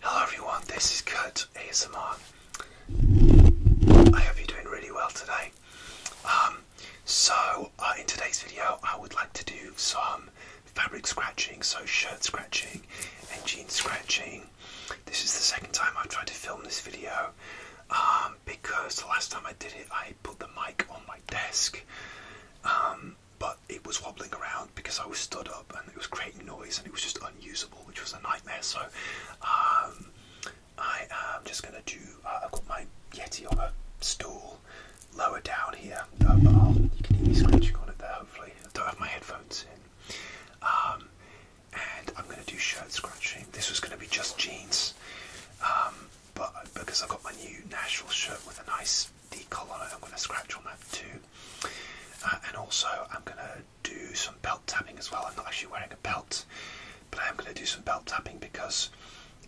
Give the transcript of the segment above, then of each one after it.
Hello everyone, this is Kurt ASMR. I hope you're doing really well today. Um, so uh, in today's video I would like to do some fabric scratching, so shirt scratching and jean scratching. This is the second time I've tried to film this video um, because the last time I did it I put the mic on my desk um, but it was wobbling around because I was stood up and it was creating noise and it was just unusable, which was a nightmare. So um, I am just going to do. Uh, I've got my Yeti on a stool lower down here, uh, you can hear me scratching on it there. Hopefully, I don't have my headphones in. Um, and I'm going to do shirt scratching. This was going to be just jeans, um, but because I've got my new Nashville shirt with a nice the collar I'm going to scratch on that too. Uh, and also I'm going to do some belt tapping as well. I'm not actually wearing a belt, but I am going to do some belt tapping because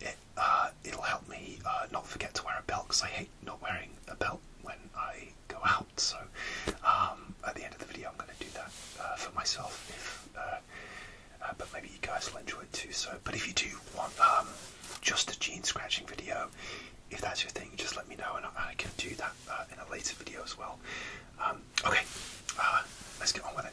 it, will uh, help me uh, not forget to wear a belt because I hate not wearing a belt when I go out. So um, at the end of the video I'm going to do that for myself. If, but maybe you guys will enjoy it too. So, but if you do want um, just a gene scratching video. If that's your thing, just let me know, and I can do that uh, in a later video as well. Um, okay, uh, let's get on with it.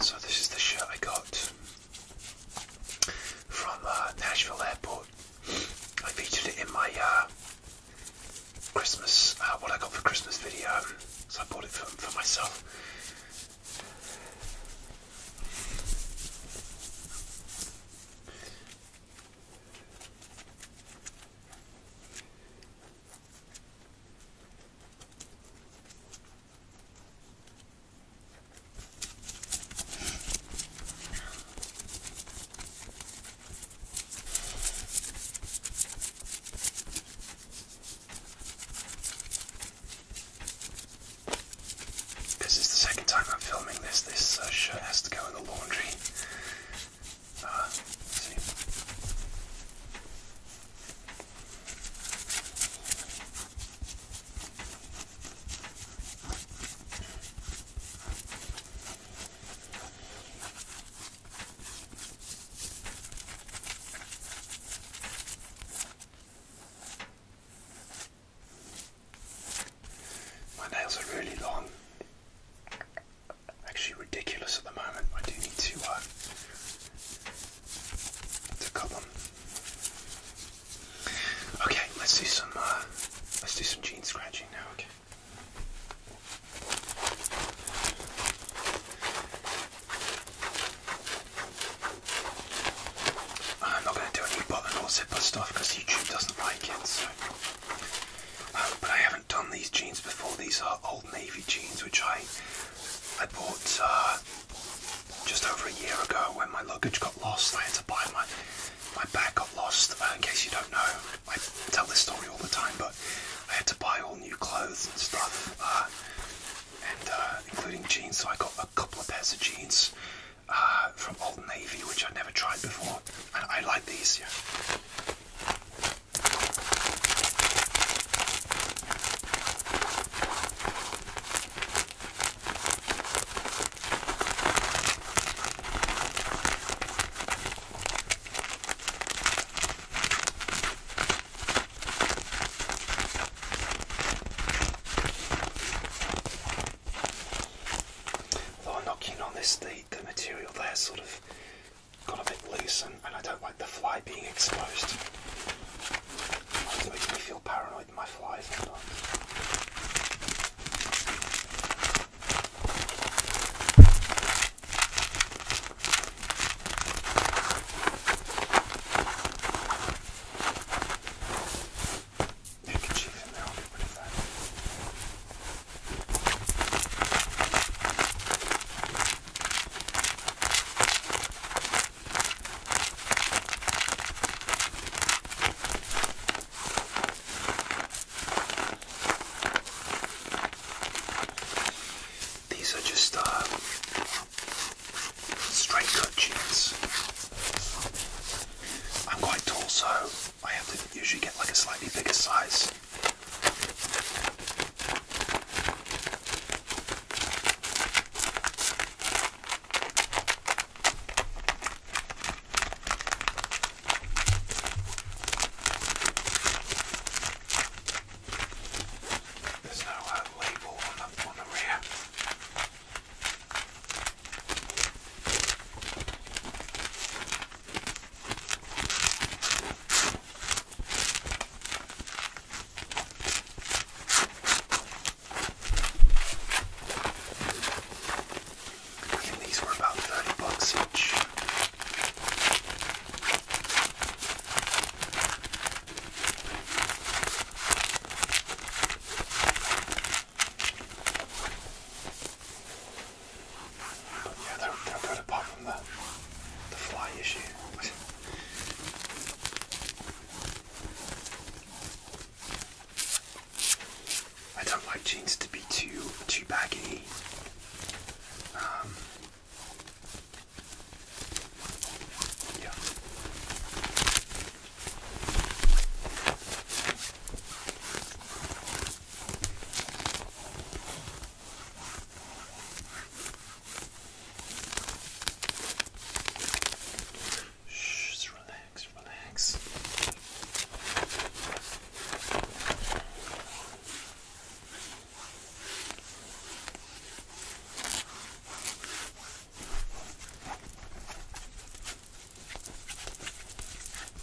So this is the shirt I got from uh, Nashville Airport. I featured it in my uh, Christmas, uh, what I got for Christmas video. So I bought it for myself. This is the second time I'm filming this. This uh, shirt has to go in the laundry. Uh, my nails are really long. Actually ridiculous at the moment. I do need to uh, it's a couple. Okay, let's do some uh, let's do some gene scratching now, okay. I'm not gonna do any button or zipper stuff because YouTube doesn't like it, so um, but I haven't done these jeans before. These are old navy jeans which I I bought uh, just over a year ago when my luggage got lost. I had to buy my my bag got lost. Uh, in case you don't know, I tell this story all the time, but I had to buy all new clothes and stuff, uh, and including jeans. So I got a couple of pairs of jeans from Old Navy, which i never tried before, and I like these. Yeah. Although i on this, the, the material there sort of got a bit loose and, I don't like the fly being exposed. It makes me feel paranoid in my fly sometimes. Handkerchief in there, I'll that. These are just uh, straight cut jeans. I'm quite tall, so I have to usually get like a slightly bigger size. There's no uh, label on the, on the rear. I think these were about 30 bucks each. Yeah, they're, they're good apart from the, the fly issue. I don't like jeans to be too too baggy. Um, yeah. Shh, just relax, relax.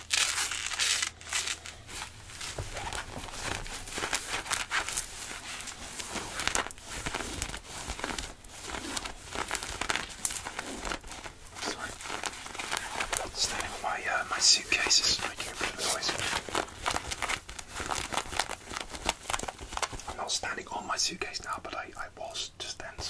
Standing on my uh, my suitcase I'm not standing on my suitcase now, but I, I was just just ends.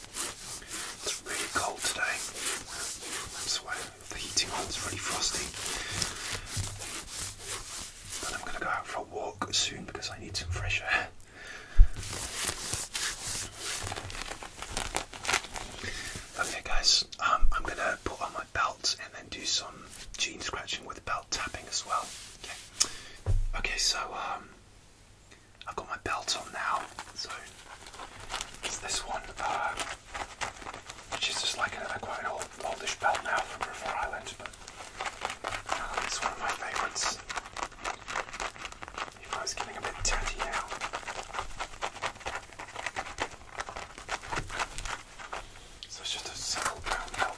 It's really cold today. I'm The heating on's really frosty. But I'm going to go out for a walk soon because I need some fresh air. Okay, guys, um, I'm going to put on my belt and then do some jean scratching with belt tapping as well. Okay, okay so um, I've got my belt on now, so it's this one, uh, which is just like another quite an old, oldish belt now from River Island, but uh, it's one of my favourites. If I was getting a bit tatty now. So a simple brown belt,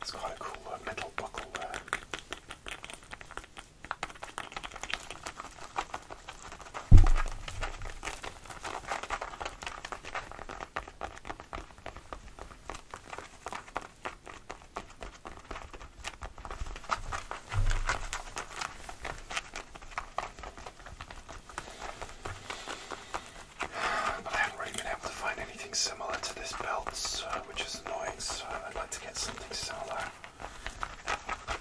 It's got a cool uh, metal buckle there. But I haven't really been able to find anything similar to this belt, which is annoying, so I'd like to get something similar.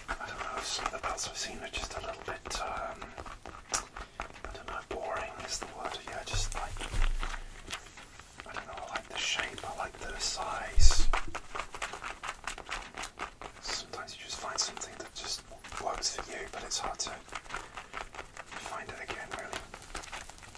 I don't know, some of the belts I've seen are just a little bit, um, I don't know, boring is the word. Yeah, just like, I don't know, I like the shape, I like the size. Sometimes you just find something that just works for you, but it's hard to find it again, really.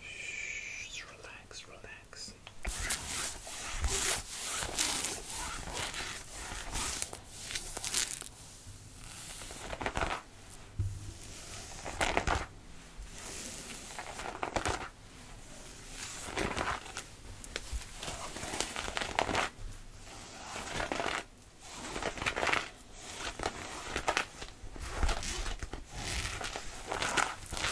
Shh, relax, relax.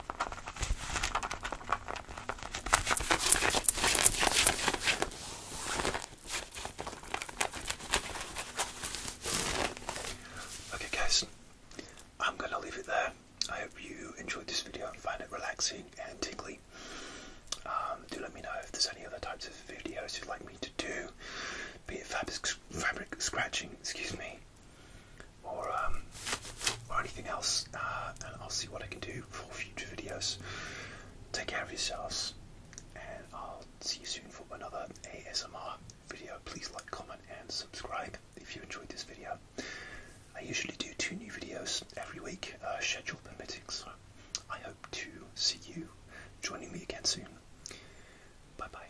Okay, guys, I'm gonna leave it there. I hope you enjoyed this video and find it relaxing and tingly. Um, do let me know if there's any other types of videos you'd like me to do, be it fabric, fabric scratching, excuse me, or um, or anything else, uh, and I'll see what I can do for future videos. Take care of yourselves, and I'll see you soon for another ASMR video. Please like, comment, and subscribe if you enjoyed this video. I usually do two new videos every week, uh, schedule permitting, so I hope to see you joining me again soon. Bye bye.